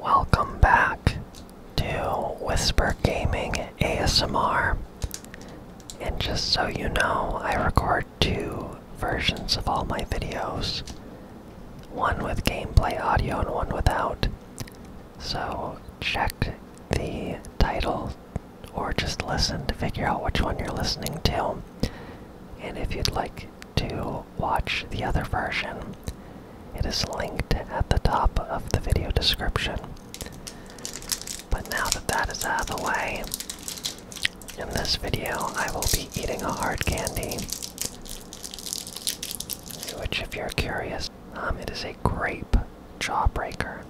Welcome back to Whisper Gaming ASMR. And just so you know, I record two versions of all my videos one with gameplay audio and one without. So check the title or just listen to figure out which one you're listening to. And if you'd like to watch the other version. It is linked at the top of the video description. But now that that is out of the way, in this video I will be eating a hard candy, which, if you're curious, um, it is a grape jawbreaker.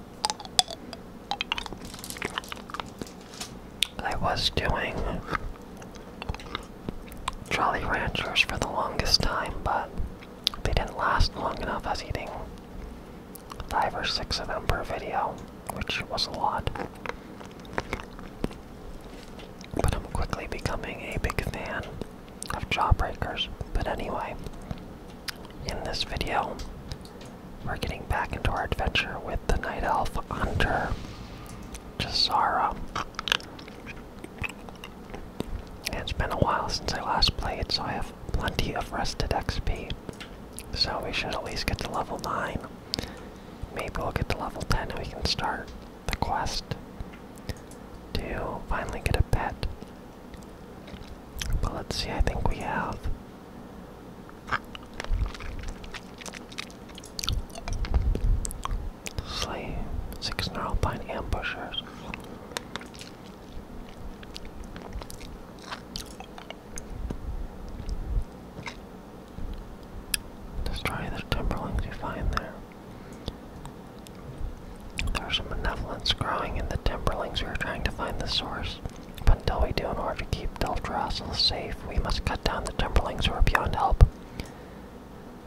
I was doing Jolly Ranchers for the longest time, but they didn't last long enough. I was eating five or six of them per video, which was a lot. But I'm quickly becoming a big fan of Jawbreakers. But anyway, in this video, we're getting back into our adventure with the Night Elf Hunter, Jazara. It's been a while since I last played, so I have plenty of rested XP. So we should at least get to level 9. Maybe we'll get to level 10 and we can start the quest to finally get a pet. But let's see, I think we have. Slay six Neuralpine ambushers. Destroy the timberlings you find there. There are some benevolence growing in the timberlings. We are trying to find the source. But until we do, in order to keep Deldrassil safe, we must cut down the timberlings who are beyond help.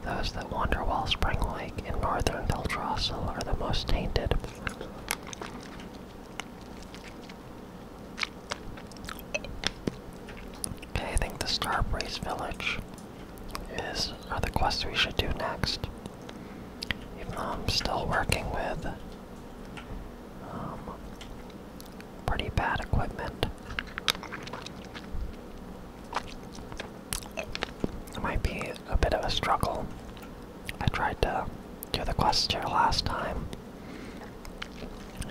Those that wander Wall Spring Lake in northern Valtrossel are the most tainted. Okay, I think the Starbreeze Village is are the quest we should do next. Even though I'm still working with um, pretty bad equipment. It might be a bit of a struggle. I tried to do the quest here last time,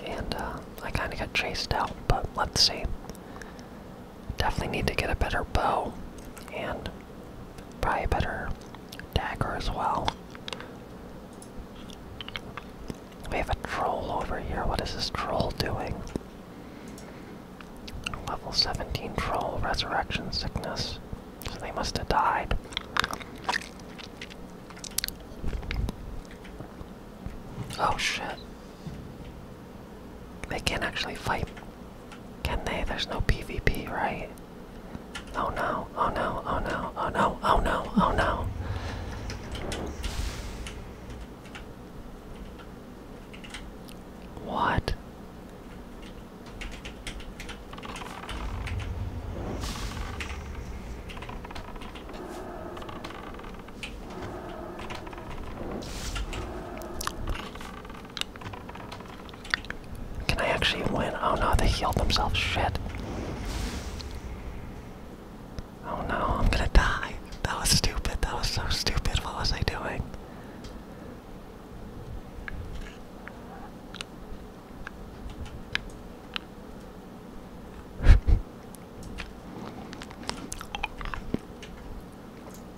and uh, I kind of got chased out, but let's see. Definitely need to get a better bow, and probably a better dagger as well. We have a troll over here. What is this troll doing? Level 17 troll, resurrection sickness. So they must have died. Oh shit. They can't actually fight. Can they? There's no PvP, right? Oh no, oh no, oh no, oh no, oh no, oh no. What? Can I actually win? Oh no, they healed themselves. Shit. Oh no, I'm gonna die. That was stupid. That was so stupid. What was I doing?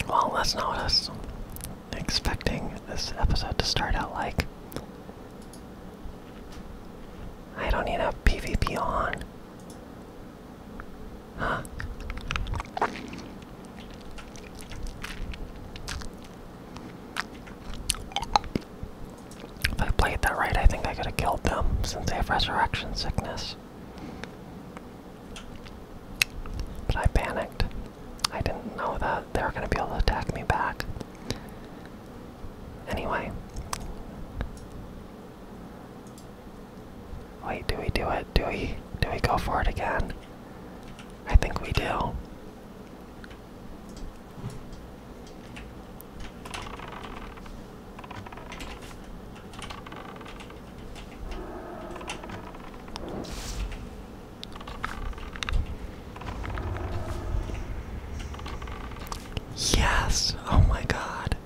well, that's let's notice. Expecting this episode to start out like I don't need a PvP on. If I played that right, I think I could have killed them since they have resurrection sickness. But I panicked. I didn't know that they were going to be able to attack me back. Anyway, Wait, do we do it? Do we do we go for it again? I think we do. Yes! Oh my god.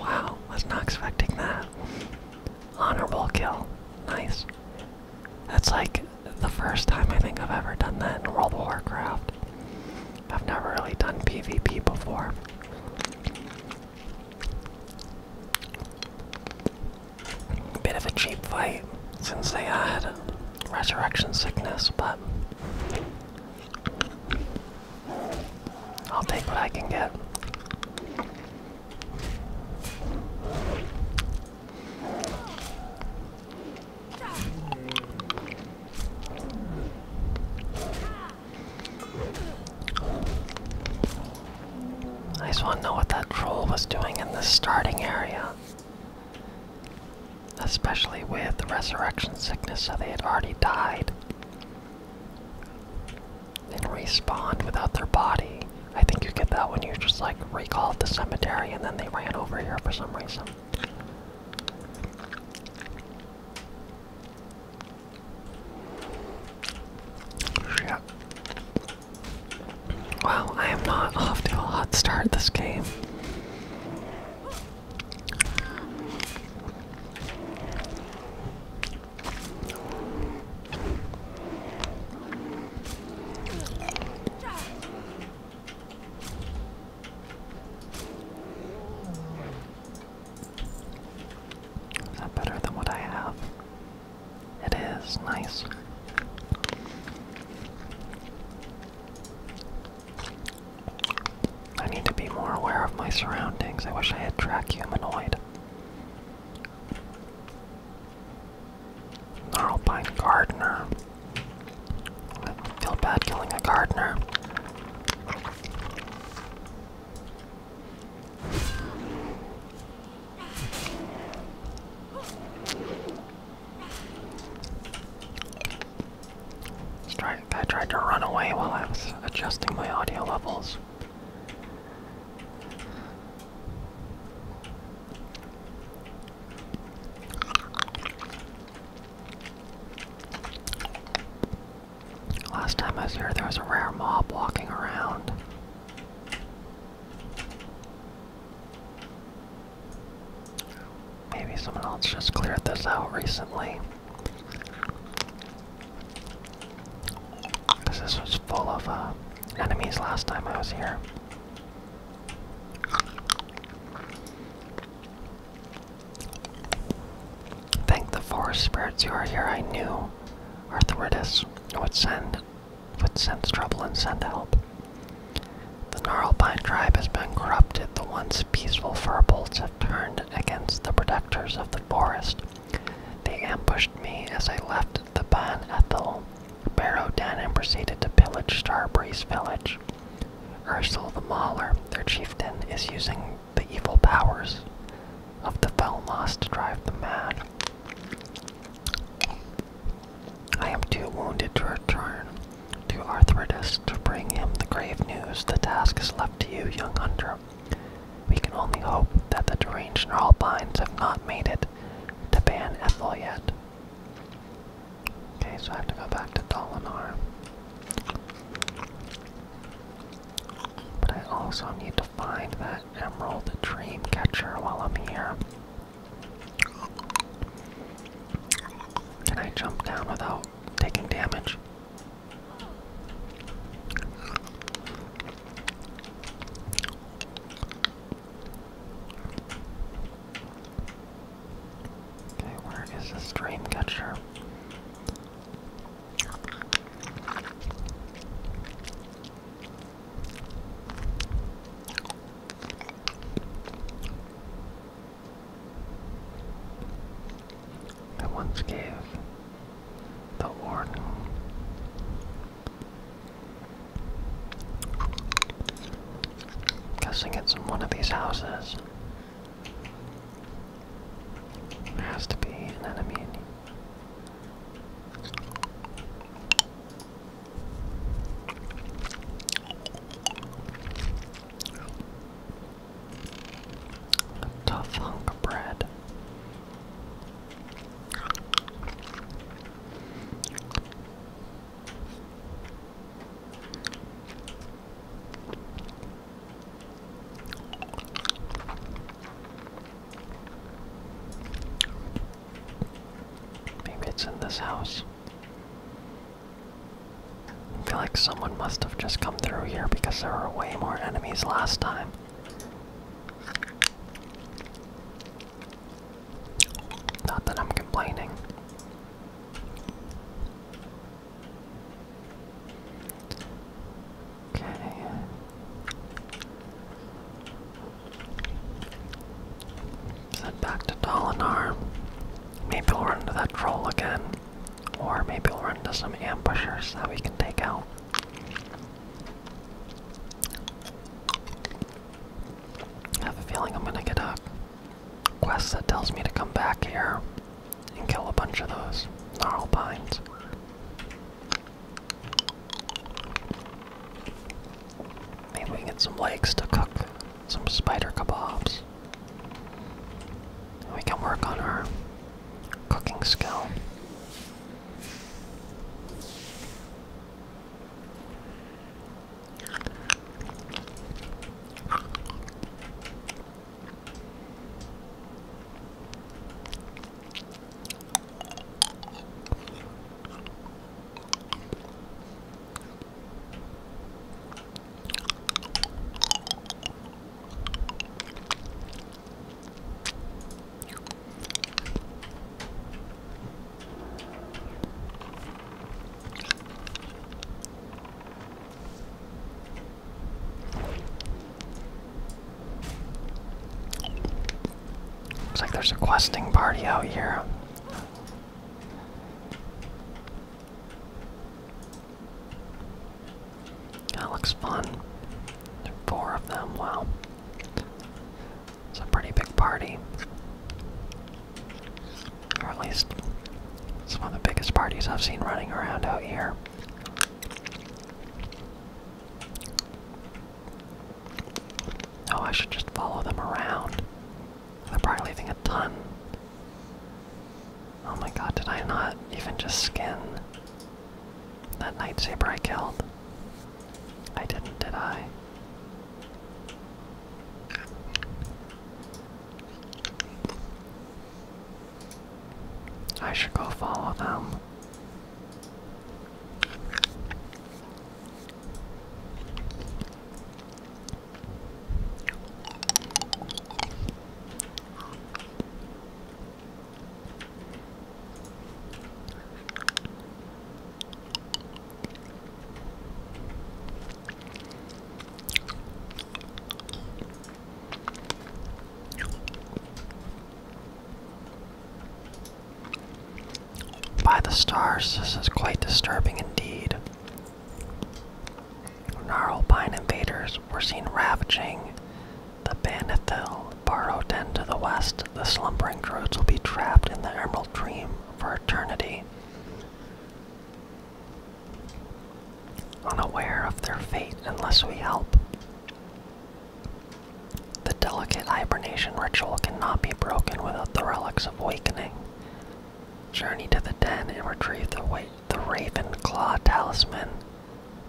Wow, was not expecting that. Honorable kill. Nice. That's like the first time I think I've ever done that in World of Warcraft. I've never really done PvP before. Bit of a cheap fight since they had resurrection sickness, but I'll take what I can get. I just want to know what that troll was doing in the starting area especially with resurrection sickness, so they had already died They respawned without their body. I think you get that when you just like recalled the cemetery and then they ran over here for some reason. Shit. I am not off a hot start this game. Is that better than what I have? It is nice. I need to be more aware of my surroundings. I wish I had track humanoid. Narlpine gardener. I feel bad killing a gardener. Trying, I tried to run away while I was adjusting my audio levels. Last time I was here, there was a rare mob walking around. Maybe someone else just cleared this out recently. Because this was full of uh, enemies last time I was here. Thank the forest spirits you are here, I knew Arthritis would send would sense trouble and send help. The Gnarlpine tribe has been corrupted, the once peaceful furbolgs have turned against the protectors of the forest. They ambushed me as I left the Ban Ethel, barrowed down and proceeded to pillage Starbreeze village. Ursul the Mauler, their chieftain, is using the evil powers of the Velmos to drive them mad. I am too wounded to return. To Arthritis, to bring him the grave news, the task is left to you, young hunter. We can only hope that the deranged Narlbinds have not made it to ban Ethel yet. Okay, so I have to go back to Dolinar. But I also need to find that Emerald Dream Catcher while I'm here. Can I jump down without taking damage? Okay, where is the stream catcher? I once gave the order. guessing it's in one of these houses. There has to be an enemy in a tough hunk of bread. Maybe it's in this house. I feel like someone must have just come through here because there were way more enemies last time. Not that I'm complaining. Okay. Set back to Dolinar. Maybe we'll run into that troll again. Or maybe we'll run into some ambushers that we can take out. I have a feeling I'm gonna get a quest that tells me to come back here and kill a bunch of those gnarlbines. Maybe we can get some legs to cook some spider kebabs. We can work on our cooking skill. Looks like there's a questing party out here. That looks fun. Four of them, wow. It's a pretty big party. Or at least, it's one of the biggest parties I've seen running around out here. Oh, I should just follow them around. They're probably leaving a ton Oh my god, did I not even just skin that Nightsaber I killed? I didn't, did I? I should go follow them. By the stars, this is quite disturbing indeed. Narlpine invaders were seen ravaging the Banathil burrowed den to the west, the slumbering druids will be trapped in the Emerald Dream for eternity. Unaware of their fate unless we help. The delicate hibernation ritual cannot be broken without the relics of awakening. Journey to the den and retrieve the the raven claw Talisman,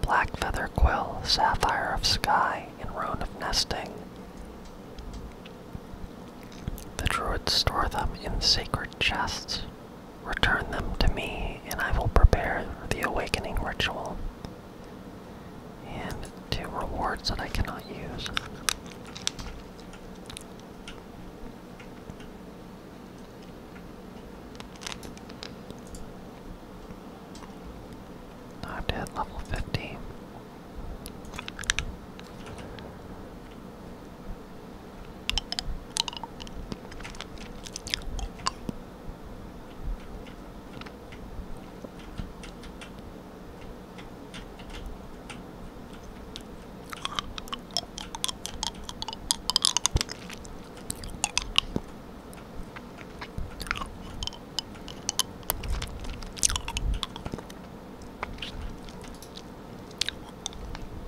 Black Feather Quill, Sapphire of Sky, and Roan of Nesting. The Druids store them in sacred chests. Return them to me, and I will prepare the awakening ritual. And two rewards that I cannot use. I have level fifteen.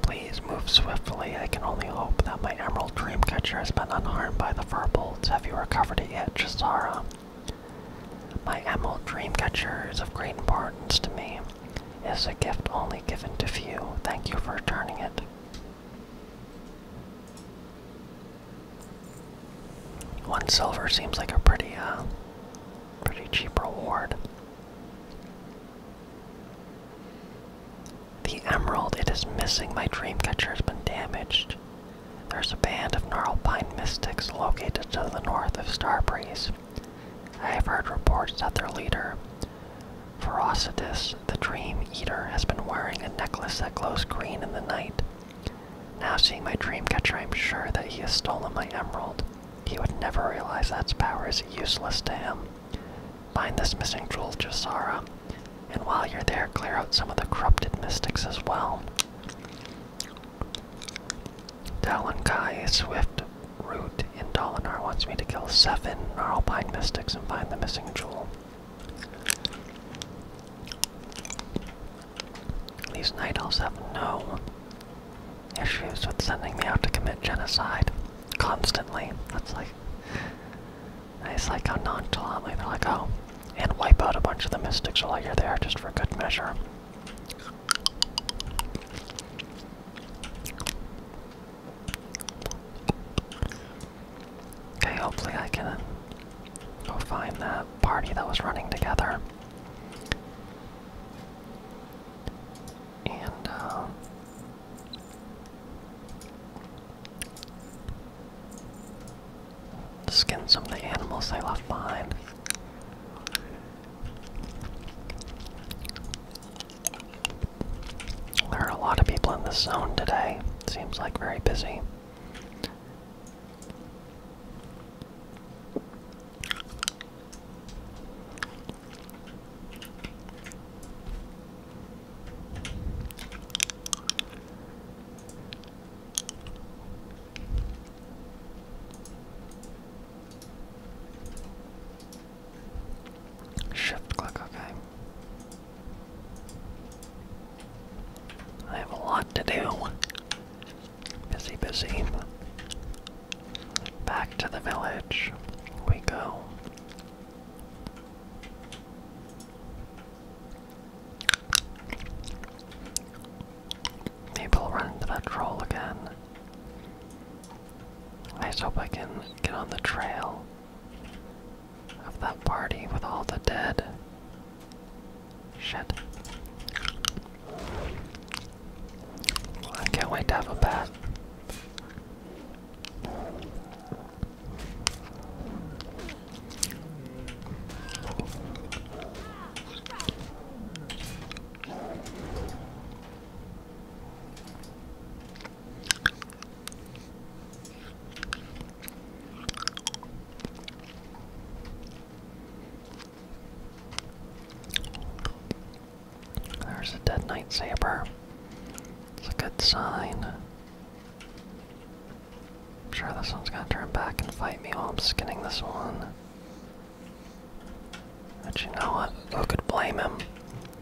Please move swiftly. I can only hope that my emerald dreamcatcher has been unharmed by the furbolts. Have you recovered it yet, Chisara? My emerald dreamcatcher is of great importance to me. It is a gift only given to few. Thank you for returning it. One silver seems like a pretty, uh, pretty cheap reward. The emerald, it is missing. My dreamcatcher has been damaged. There's a band of gnarled pine mystics located to the north of Starbreeze. I have heard reports that their leader, Ferocitus, the Dream Eater has been wearing a necklace that glows green in the night. Now seeing my dream catcher, I'm sure that he has stolen my emerald. He would never realize that its power is useless to him. Find this missing jewel, Jasara, and while you're there, clear out some of the corrupted mystics as well. Talon Kai, swift root in Dalinar, wants me to kill seven Gnarlpine mystics and find the missing jewel. These night elves have no issues with sending me out to commit genocide constantly. it's like, it's like how nonchalantly they're like, oh, and wipe out a bunch of the mystics while you're there just for good measure. Okay, hopefully I can go find that party that was running together. And, uh, skin some of the animals they left behind. There are a lot of people in this zone today. Seems like very busy. Shift click, okay. I have a lot to do. Busy, busy. Back to the village we go. Maybe I'll run into that troll again. I hope I can get on the trail of that party with all the dead. Shit. I can't wait to have a bath. There's a dead night saber. It's a good sign. I'm sure this one's gonna turn back and fight me while I'm skinning this one. But you know what? Who could blame him?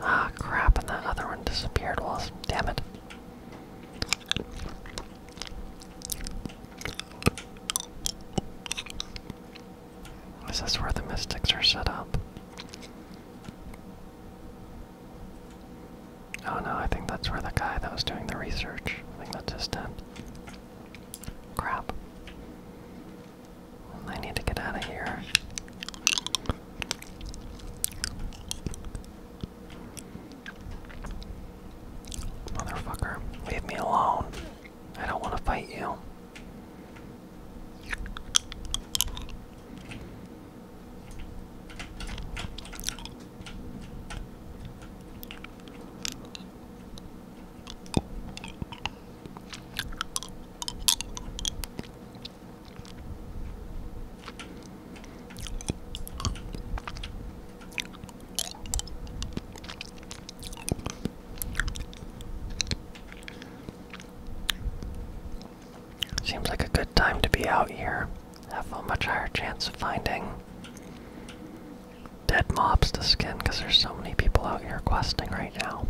Ah, crap, and that other one disappeared, was damn it. Is this where the mystics are set up? Oh no, I think that's where the guy that was doing the research. I think that's his tent. Crap. I need to get out of here. Motherfucker, leave me alone. I don't want to fight you. Seems like a good time to be out here. Have a much higher chance of finding dead mobs to skin because there's so many people out here questing right now.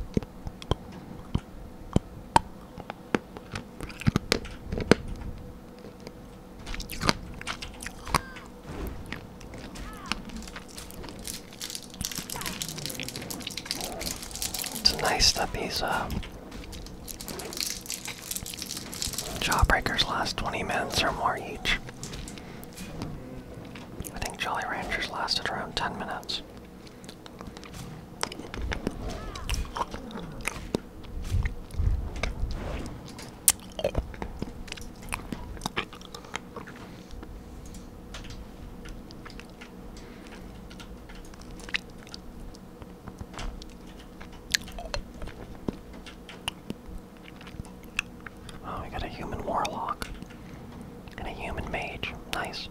It's nice that these uh, jawbreakers last 20 minutes or more each. I think Jolly Ranchers lasted around 10 minutes. Oh, we got a human warlock and a human mage. Nice.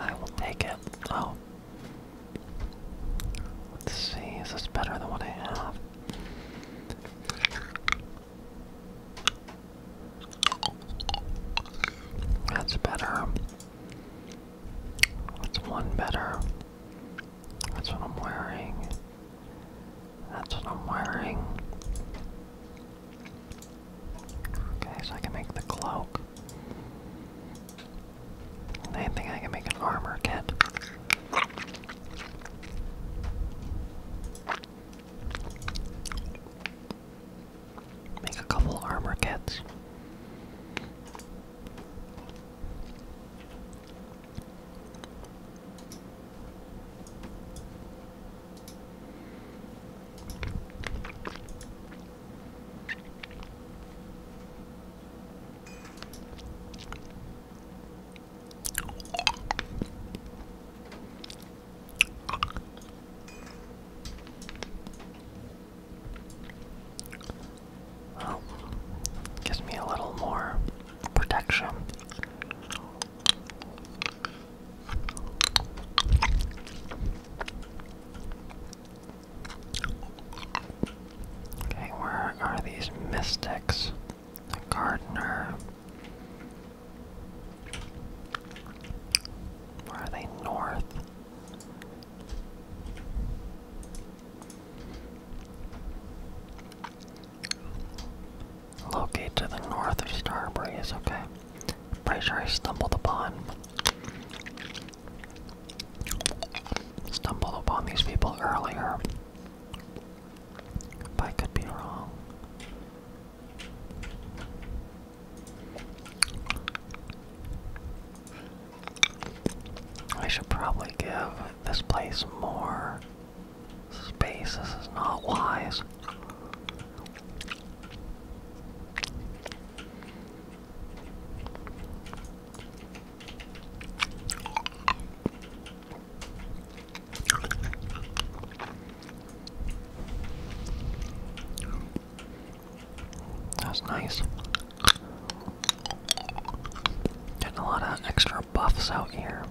I will take it. Oh, Let's see, is this better than what I have? That's better. That's one better. That's what I'm wearing. That's what I'm wearing. Okay, so I can make the cloak. I think I can make an armor kit. Make a couple armor kits. Oh, gives me a little more protection. Okay, where are these mystics? The gardener. Where are they north? Locate to the north of Starbreeze, okay. Pretty sure I stumbled upon stumbled upon these people earlier. I could be wrong. I should probably give this place more space. This is not wise. That's nice. Getting a lot of extra buffs out here.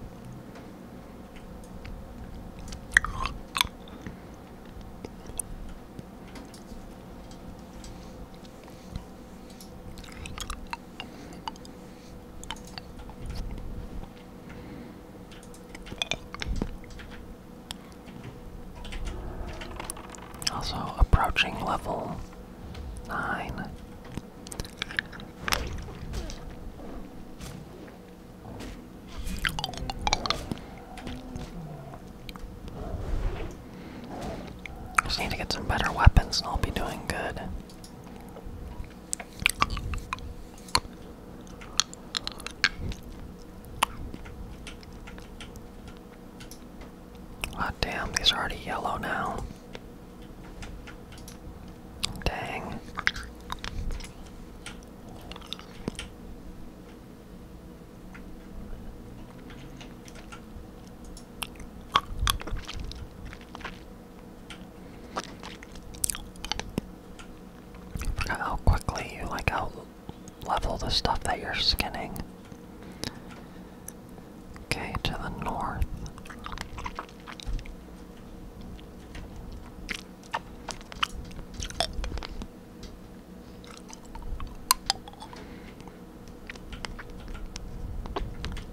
Also approaching level nine. Just need to get some better weapons and I'll be doing good. Ah, damn, these are already yellow now. Dang. I forgot how quickly you like out level the stuff that you're skinning. Okay, to the north.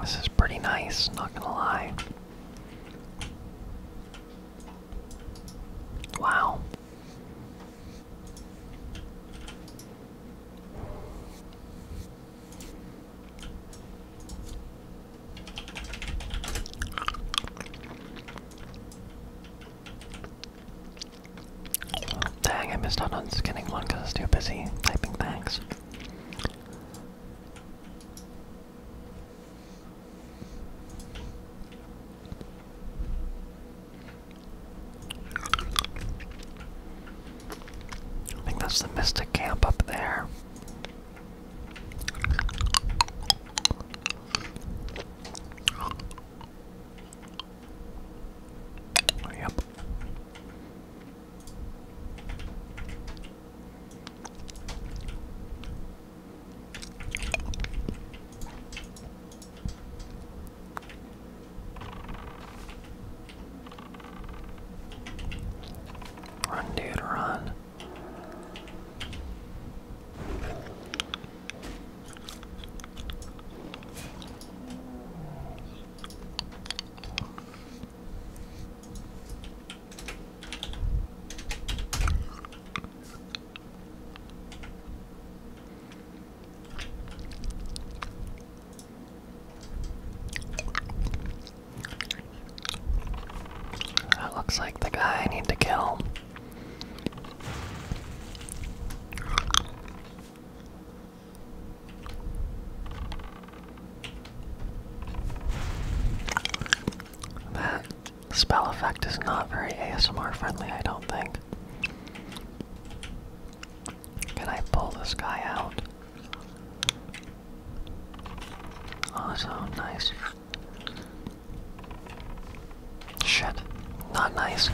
This is pretty nice, not gonna lie. Wow. Dang, I missed out on skinning one because I was too busy typing thanks. I think that's the Mystic Camp up there. Yep. Run, dude, run. That looks like the guy I need to kill. That spell effect is not very ASMR friendly, I don't think. Can I pull this guy out? Oh, so nice. Shit, not nice.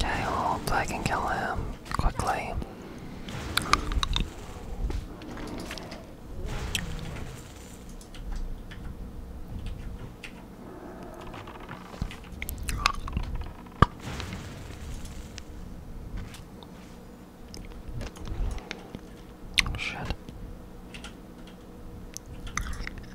I hope I can kill him quickly. Shit.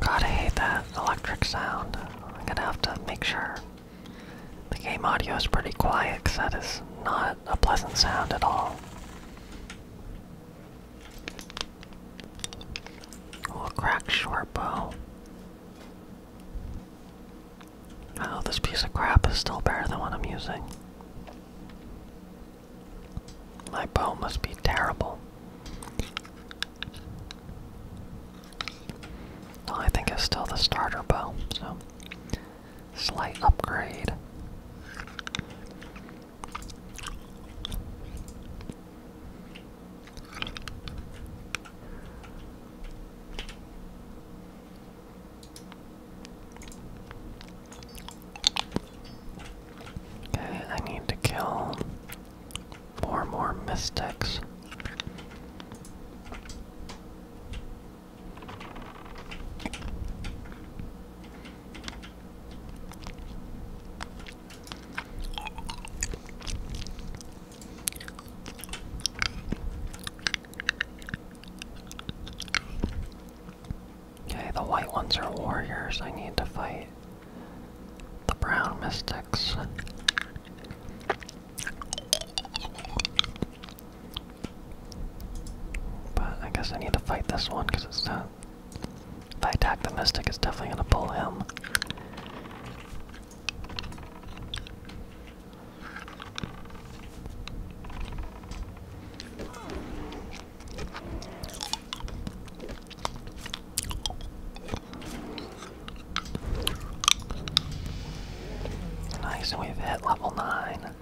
God, I hate that electric sound. I'm gonna have to make sure the game audio is pretty quiet because that is not a pleasant sound at all. We'll short bow. Oh, this piece of crap is still better than the one I'm using. My bow must be terrible. Well, I think it's still the starter bow, so slight upgrade. Okay, I need to kill four more mystics. Okay, the white ones are warriors. I need to fight the brown mystics. But I guess I need to fight this one because it's if I attack the Mystic, it's definitely going to pull him. Nice, we've hit level 9.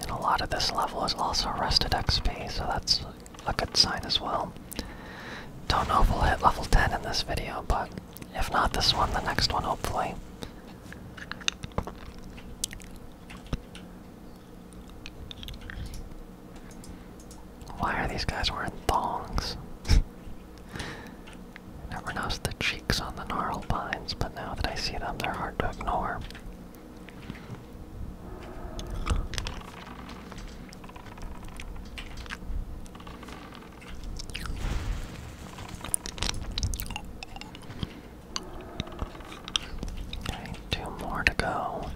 And a lot of this level is also rested XP, so that's a good sign as well. Don't know if we'll hit level 10 in this video, but if not this one, the next one hopefully. Why are these guys wearing thongs? Never noticed the cheeks on the gnarled pines, but now that I see them, they're hard to ignore. Okay, two more to go.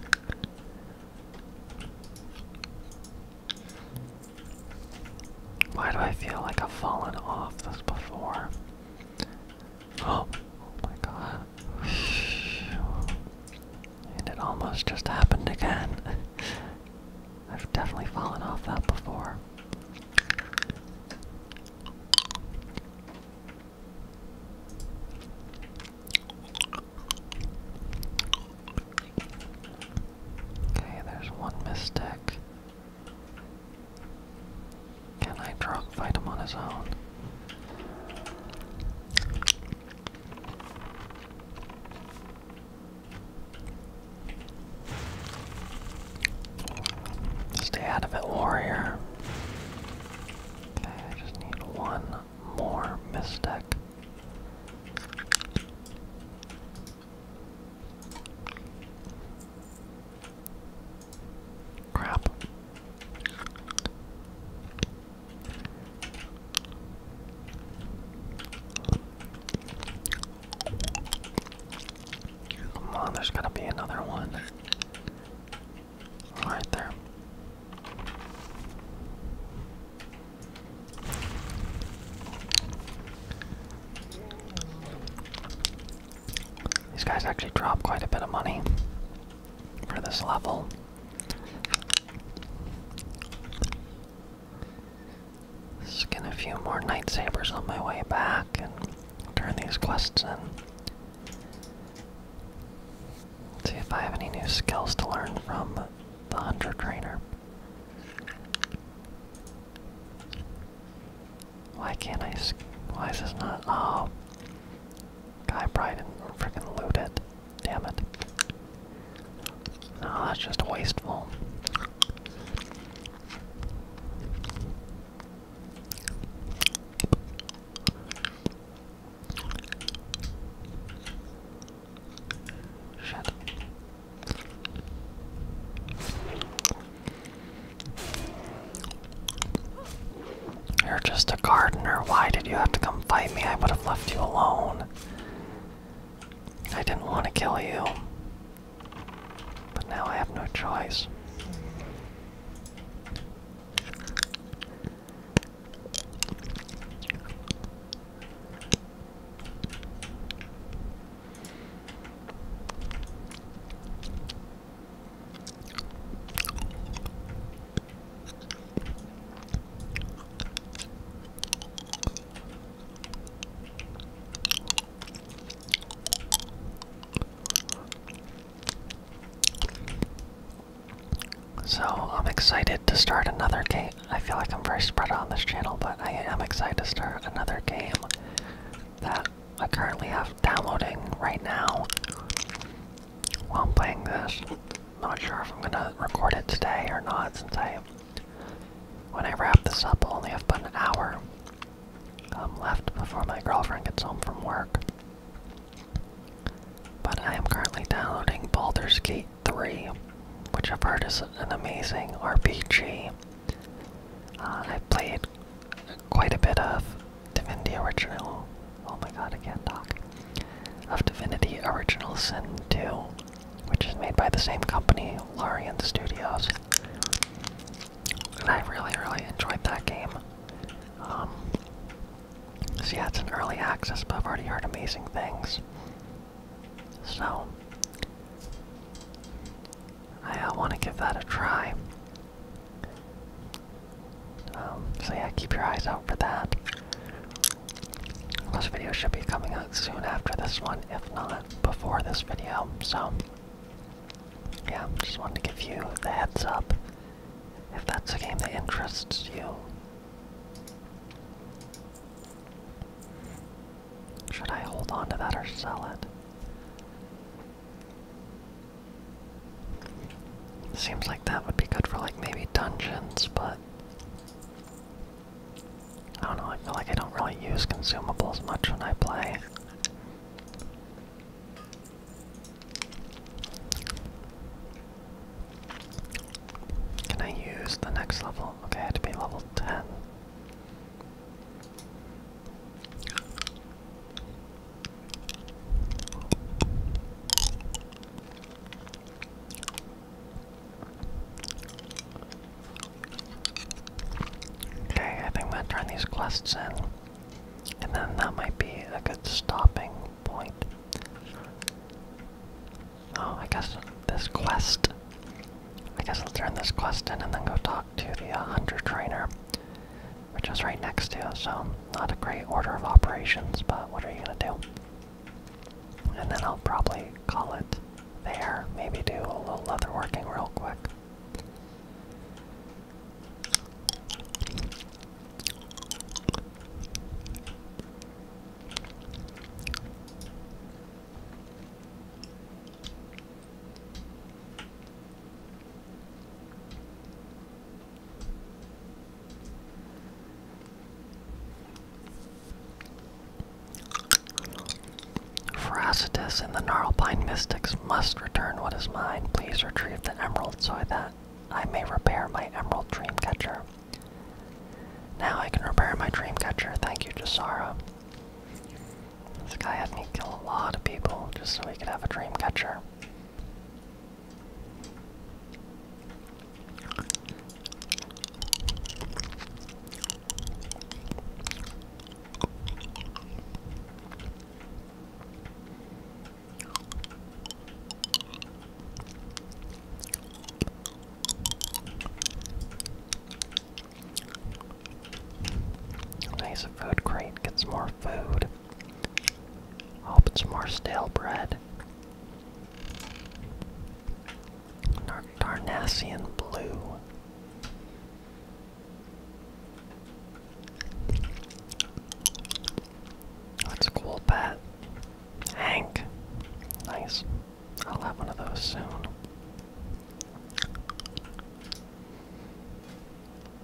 Why do I feel like I've fallen off this before? Oh, oh my god. And it almost just happened again. I've definitely fallen off that before. Okay, there's one mistake. Can I drop Vitam on his own? Stay out of it, warrior. Okay, I just need one more mystic. Crap. Come on, there's to be another one. Right there. These guys actually drop quite a bit of money for this level. Get a few more night on my way back and turn these quests in. see if I have any new skills to learn from the hunter trainer. Why can't I? Why is this not? Oh, guy probably didn't loot it. Damn it. No, that's just wasteful. Shit. You're just a gardener. Why did you have to come fight me? I would have left you alone. I didn't want to kill you. But now I have no choice. So I'm excited to start another game. I feel like I'm very spread out on this channel, but I am excited to start another game that I currently have podcast downloading right now while I'm playing this. Not sure if I'm gonna record it today or not since I when I wrap this up I'll only have about an hour um, left before my girlfriend gets home from work. But I am currently downloading Baldur's Gate 3, which I've heard is an amazing RPG. Uh, I played quite a bit of Divinity Original. Oh my god, I can't talk. Of Divinity Original Sin 2, which is made by the same company, Larian Studios. And I really, really enjoyed that game. Um, so yeah, it's an early access, but I've already heard amazing things. So, I uh, want to give that a try. Um, so yeah, keep your eyes out for that. Those video should be coming out soon after this one, if not before this video. So yeah, just wanted to give you the heads up if that's a game that interests you. Should I hold on to that or sell it? Seems like that would be good for like maybe dungeons, but I don't know, I feel like I don't really use consumables much when I play. Can I use the next level? Okay, I had to be level 10. Okay, I think I'm gonna turn these quests in, and then that might be a good stopping point. Oh, I guess this quest. I guess I'll turn this quest in and then go talk to the uh, hunter trainer which is right next to it, so not a great order of operations, but what are you gonna do? And then I'll probably call it there, maybe do a little leather working real quick. Phrasitus and the pine Mystics must return what is mine. Please retrieve the emerald so that I may repair my emerald dreamcatcher. Now I can repair my dreamcatcher. Thank you, Jasara. This guy had me kill a lot of people just so he could have a dream catcher. Nice food crate gets more food. Hope oh, it's more stale bread. Tar blue. That's cool Pat. Hank. Nice. I'll have one of those soon.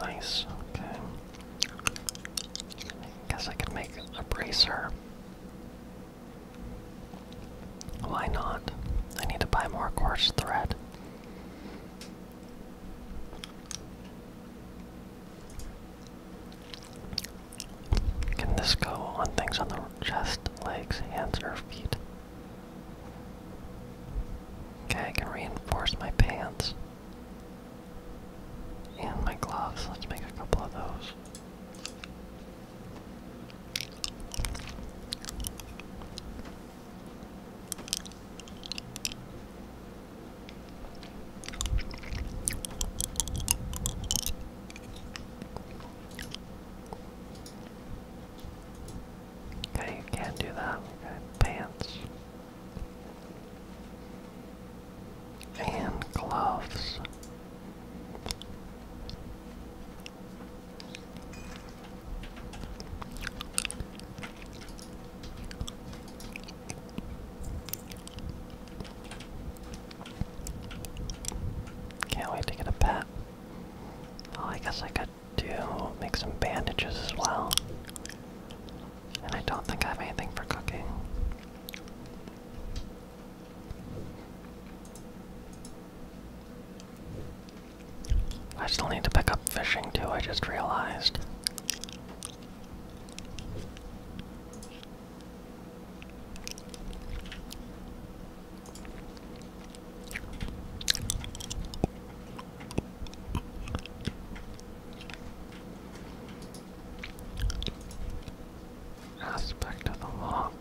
Nice, okay. Guess I could make a bracer. Why not? I need to buy more coarse thread. Can this go on things on the chest, legs, hands, or feet? Okay, I can reinforce my pants and my gloves. Let's make a couple of those. Okay, you can't do that. pants. And gloves. Can't wait to get a pet. Oh, I guess I could do make some bandages as well. And I don't think I have anything for cooking. I still need to pick up fishing too, I just realized. Aspect of the lock.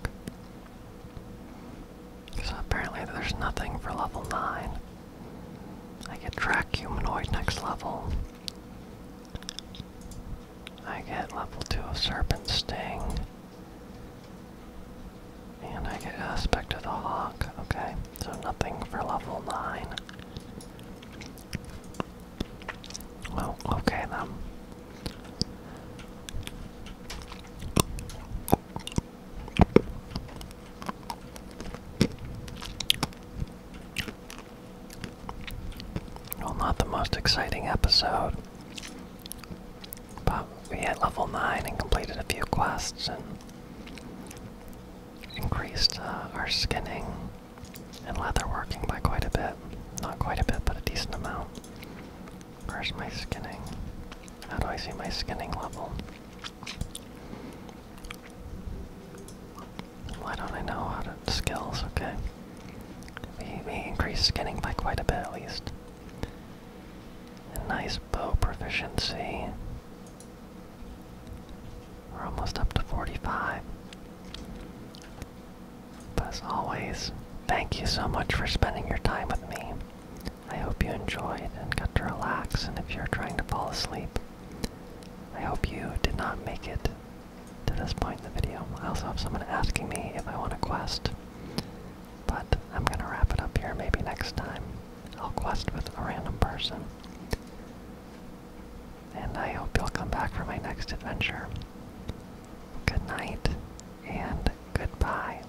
So apparently there's nothing for level 9. I get track humanoid next level. I get level 2 of Serpent Sting. And I get Aspect of the Hawk. Okay, so nothing for level 9. Well, okay then. Well, not the most exciting episode. But we hit level 9 and completed a few quests and increased uh, our skinning and leatherworking by quite a bit. Not quite a bit, but a decent amount. Where's my skinning? How do I see my skinning level? Why don't I know how to skills? Okay. We, we increased skinning by quite a bit at least. A nice bow proficiency. We're almost up to 45. But as always, thank you so much for spending your time with me. I hope you enjoyed and got to relax, and if you're trying to fall asleep, I hope you did not make it to this point in the video. I also have someone asking me if I want a quest, but I'm gonna wrap it up here. Maybe next time I'll quest with a random person. And I hope you'll come back for my next adventure. Good night and goodbye.